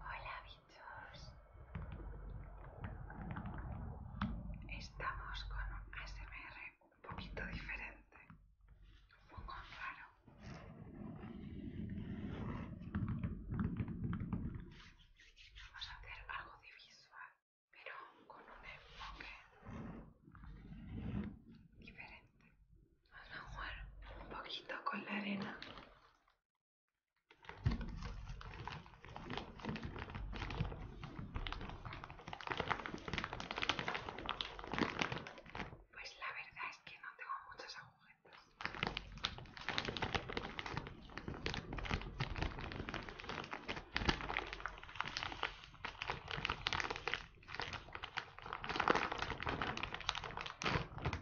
Hola bichos, estamos con un ASMR un poquito diferente, un poco raro. Vamos a hacer algo de visual, pero con un enfoque diferente a jugar un poquito con la arena. Pues la verdad es que no tengo muchos agujeros unas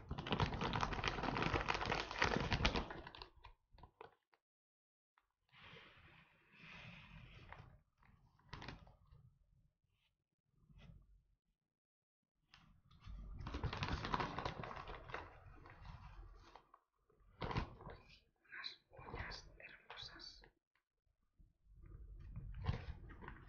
uñas hermosas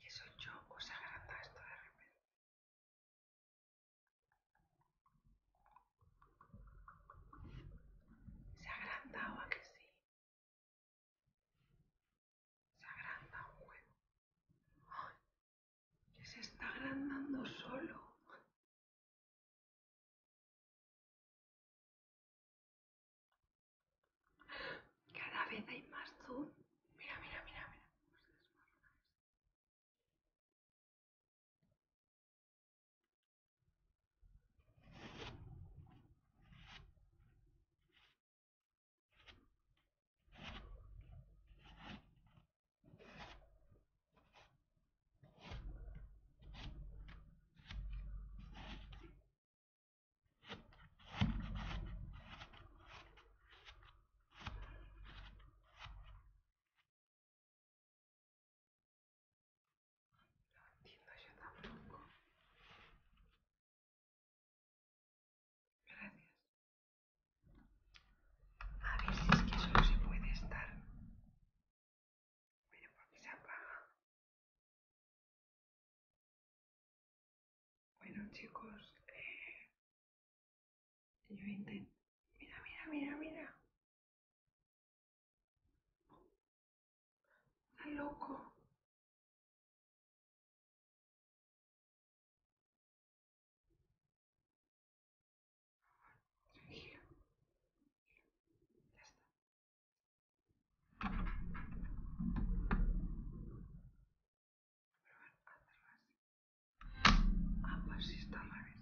Y eso yo se agranda esto de repente. Se agranda o a que sí. Se agranda un huevo. Que se está agrandando solo. Cada vez hay más zoom. Mira, mira, mira, mira. No Entiendo yo tampoco. Gracias. A ver si es que solo se puede estar pero porque se apaga. Bueno chicos, eh, yo intento... Mira, mira, mira, mira. Está loco. Tranquilo. Ya está. Ah, si pues está la vez.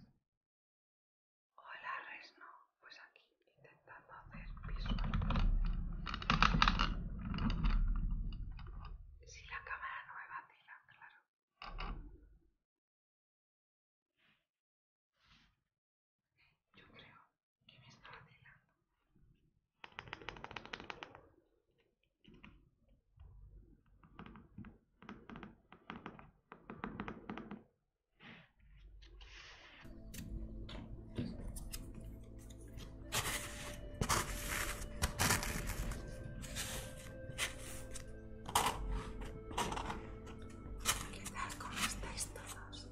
Hola, Resno, Pues aquí intentando hacer visual. Si la cámara no me vacila, claro. Yo creo que me está delando. ¿Qué tal? ¿Cómo estáis todos?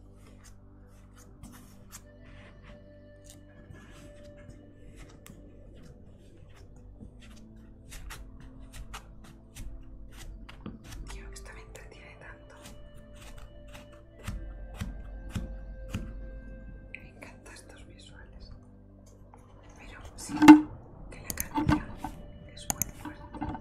Tío, esta me entretiene tanto. Me encantan estos visuales. Pero sí, que la cantidad es muy fuerte.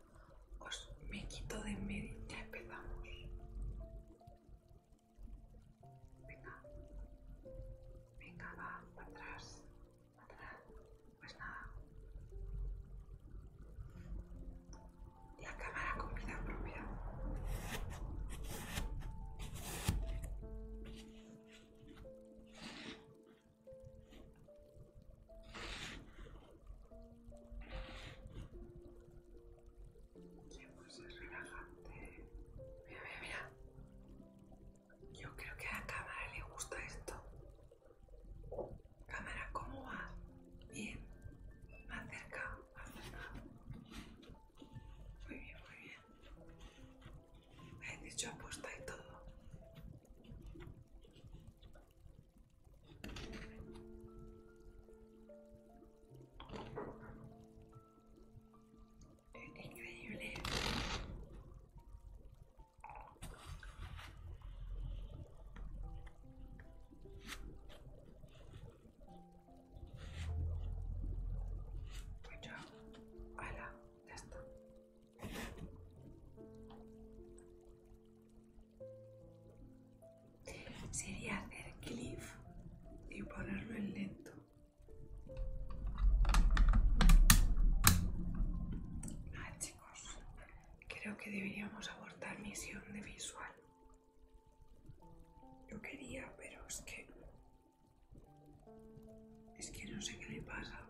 os me quito de en medio. Ya empezamos. Venga. Venga, va, para atrás. atrás. Pues nada. La cámara con vida propia. Qué relajante. Mira, mira, mira. Yo creo que a la cámara le gusta esto. Cámara, ¿cómo va? Bien. Más cerca, más Muy bien, muy bien. Me dicho apuesta y todo. Increíble. Pues ya, ya está sería hacer cliff y ponerlo en lento. Ah, chicos, creo que deberíamos abortar misión de visual. Yo quería, pero es que... Es que no sé qué le pasa.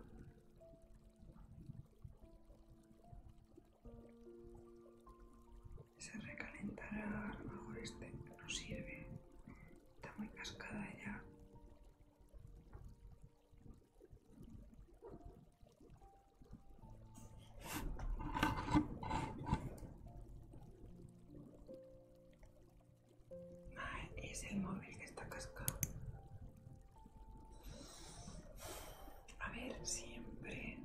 Se recalentará, a lo mejor este no sirve. Está muy cascada ya. es el móvil que está cascado. A ver, siempre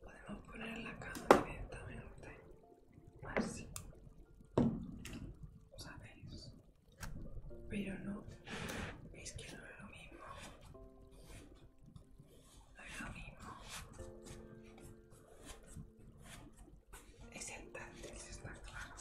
podemos poner la cama ¿no? así. ¿Sabéis? Pero no, es que no es lo mismo. No es lo mismo. Es el táctil, está claro.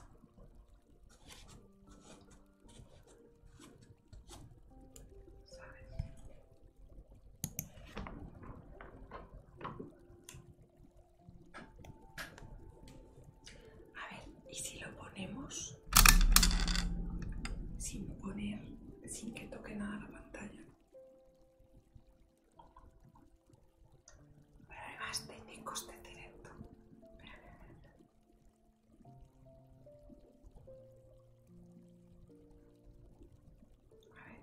A ver, ¿y si lo ponemos sin poner, sin que toque nada la pantalla? Pero además técnicos de directo. A ver,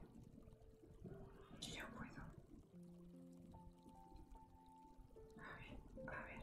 si yo puedo. A ver, a ver.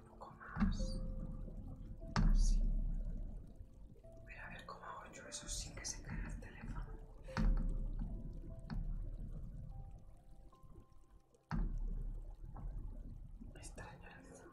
un poco más así. voy a ver cómo hago yo eso sin que se caiga el teléfono. Extraño eso.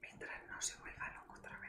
mientras no se vuelva loco otra vez.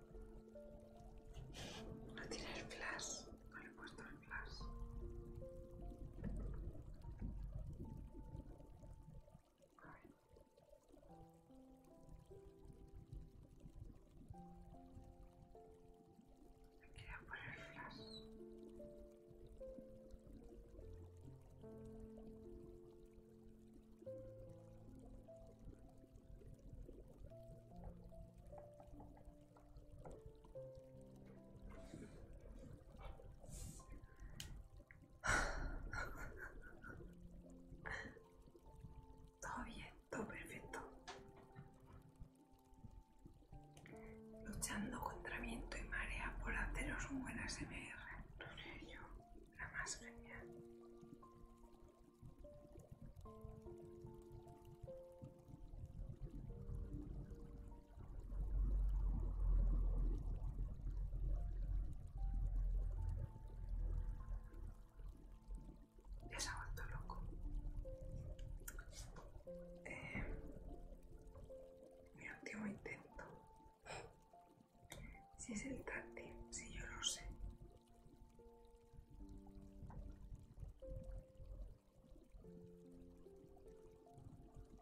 No tiene el flash, no le he puesto el flash. Me queda por el flash. Todo bien, todo perfecto. Luchando contra viento y marea por haceros un buen ASMR. lo sé yo, la más genial. Ya se ha vuelto loco. Eh, mi último intento. Si es el táctil, si yo lo sé,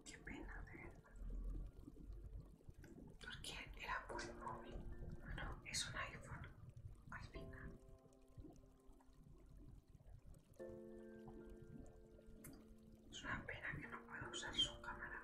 Qué pena, de Porque era buen móvil. no, es un iPhone al final. Es una pena que no pueda usar su cámara.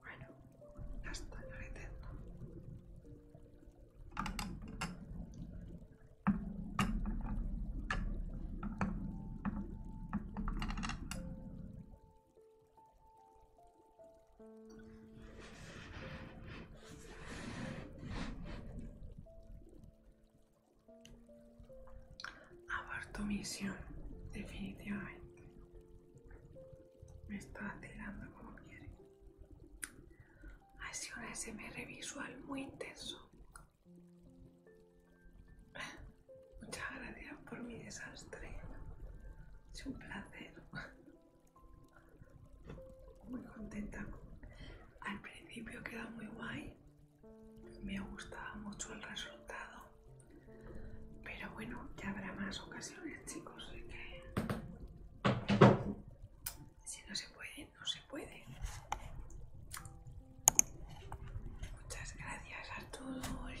Bueno, ya está, ya lo intento. Abarto misión, definitivamente. Me está tirando como quiere. sido un SMR visual muy intenso. Muchas gracias por mi desastre. Es un placer. Muy contenta. Al principio queda muy guay. Me gustaba mucho el resultado. Pero bueno, ya habrá más ocasiones, chicos. que si no se puede, no se puede. Muchas gracias a todos. Ahí.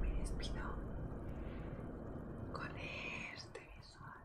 Me despido con este visual.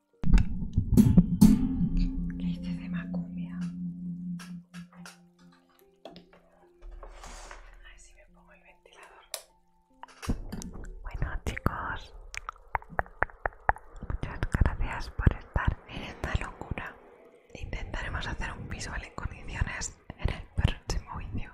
Qué hice este de macumbia. A si me pongo el ventilador. Bueno, chicos, muchas gracias por estar en esta locura. Intentaremos hacer un visual en condiciones en el próximo vídeo.